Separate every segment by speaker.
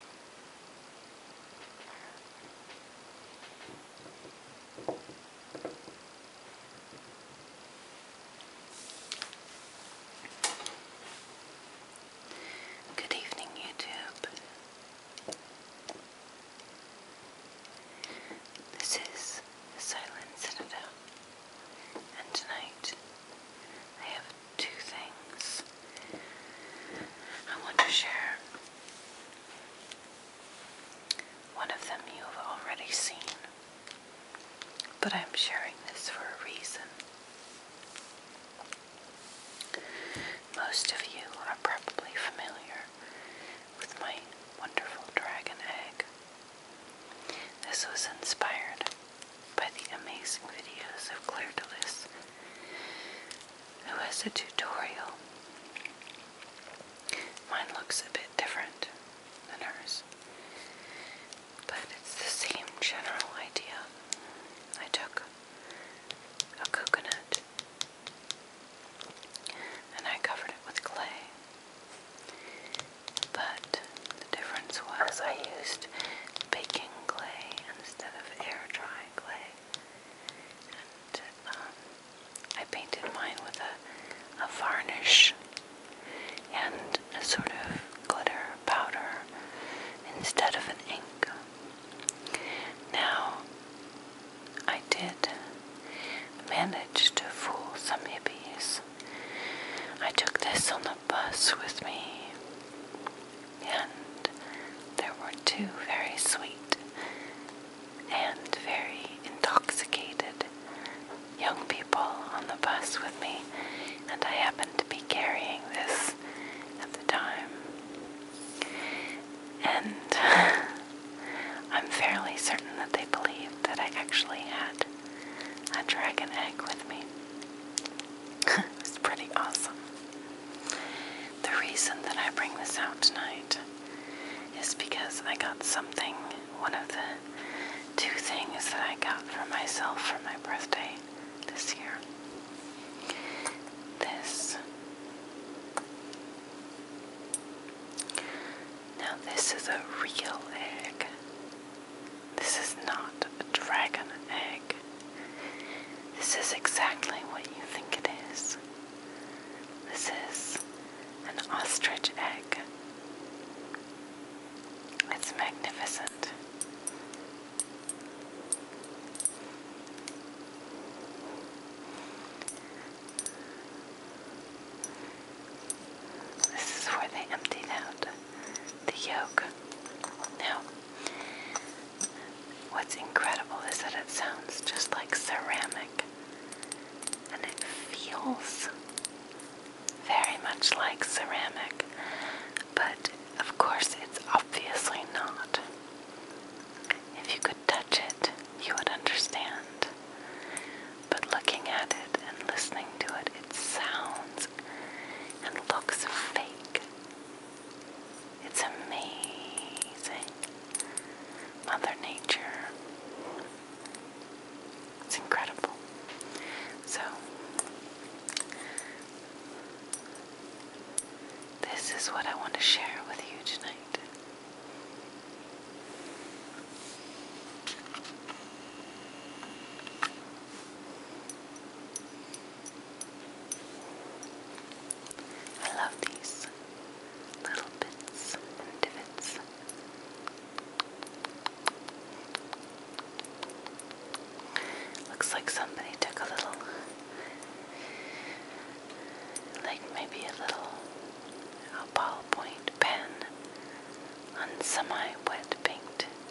Speaker 1: Good evening, YouTube. This is the Silent Citadel, and tonight I have two things I want to share. One of them you have already seen, but I'm sharing this for a reason. Most of you are probably familiar with my wonderful dragon egg. This was inspired by the amazing videos of Claire DeLis who has a tutorial. Mine looks a bit different than hers, but it's the same general idea. I took a coconut and I covered it with clay, but the difference was I used baking clay instead of air dry clay. And um, I painted mine with a, a varnish and a sort of glitter powder instead of an ink. Now, I did manage to fool some hippies. I took this on the bus with me and there were two very sweet and very intoxicated young people on the bus with me, and I happened to be carrying this at the time. And I'm fairly certain that they believed that I actually had a dragon egg with me. it was pretty awesome. The reason that I bring this out tonight is because I got something, one of the two things that I got for myself for my birthday this year. This. Now, this is a real egg. This is not a dragon egg. This is exactly what you think it is. This is an ostrich egg. It's magnificent. This is where they emptied out the yolk. Now, What's incredible is that it sounds just like ceramic and it feels very much like ceramic, but of course, it's obviously not. If you could touch it, you would understand. But looking at it and listening to it, it sounds and looks fake. It's amazing. Mother Nature. It's incredible. So, this is what I want to share with you tonight. I love these little bits and divots. Looks like somebody took a little, like maybe a little a ballpoint pen on semi-wet paint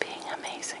Speaker 1: being amazing.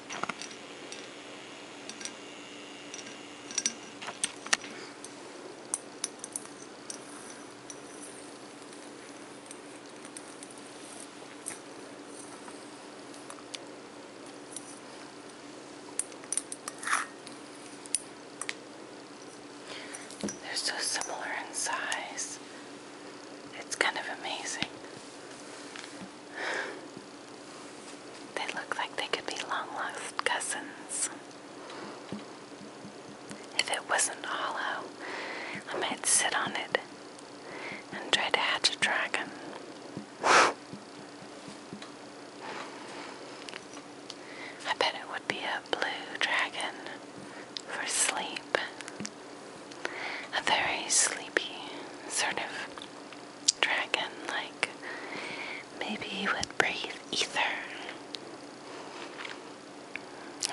Speaker 1: They're so similar in size. It's kind of amazing. They look like they could be long lost cousins. If it wasn't hollow, I might sit on it and try to hatch a dragon. I bet it would be a blue dragon for sleep. A very sleepy, sort of dragon, like maybe he would breathe ether.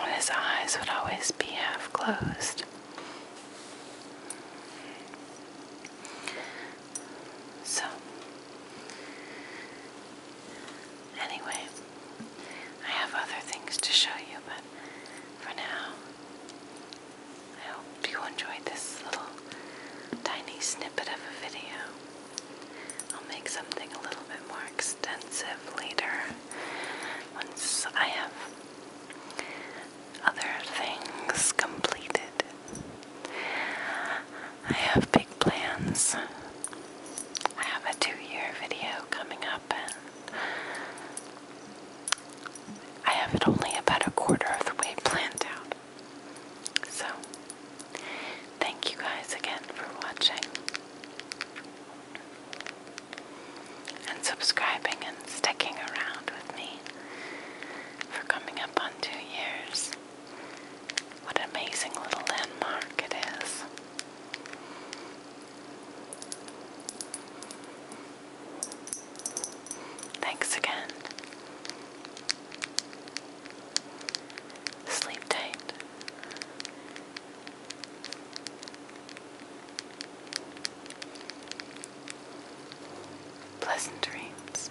Speaker 1: And his eyes would always be half closed. So, anyway, I have other things to show you, but for now, I hope you enjoyed this little tiny snippet of a video. I'll make something a little bit more extensive later once I have other things completed. I have big plans. I have a two year video coming up I have it only about a quarter of the way planned out. So, thank you guys again for watching and subscribing and sticking around with me for coming up on two years. What an amazing little landmark it is. Thanks again. Sleep tight. Pleasant dreams.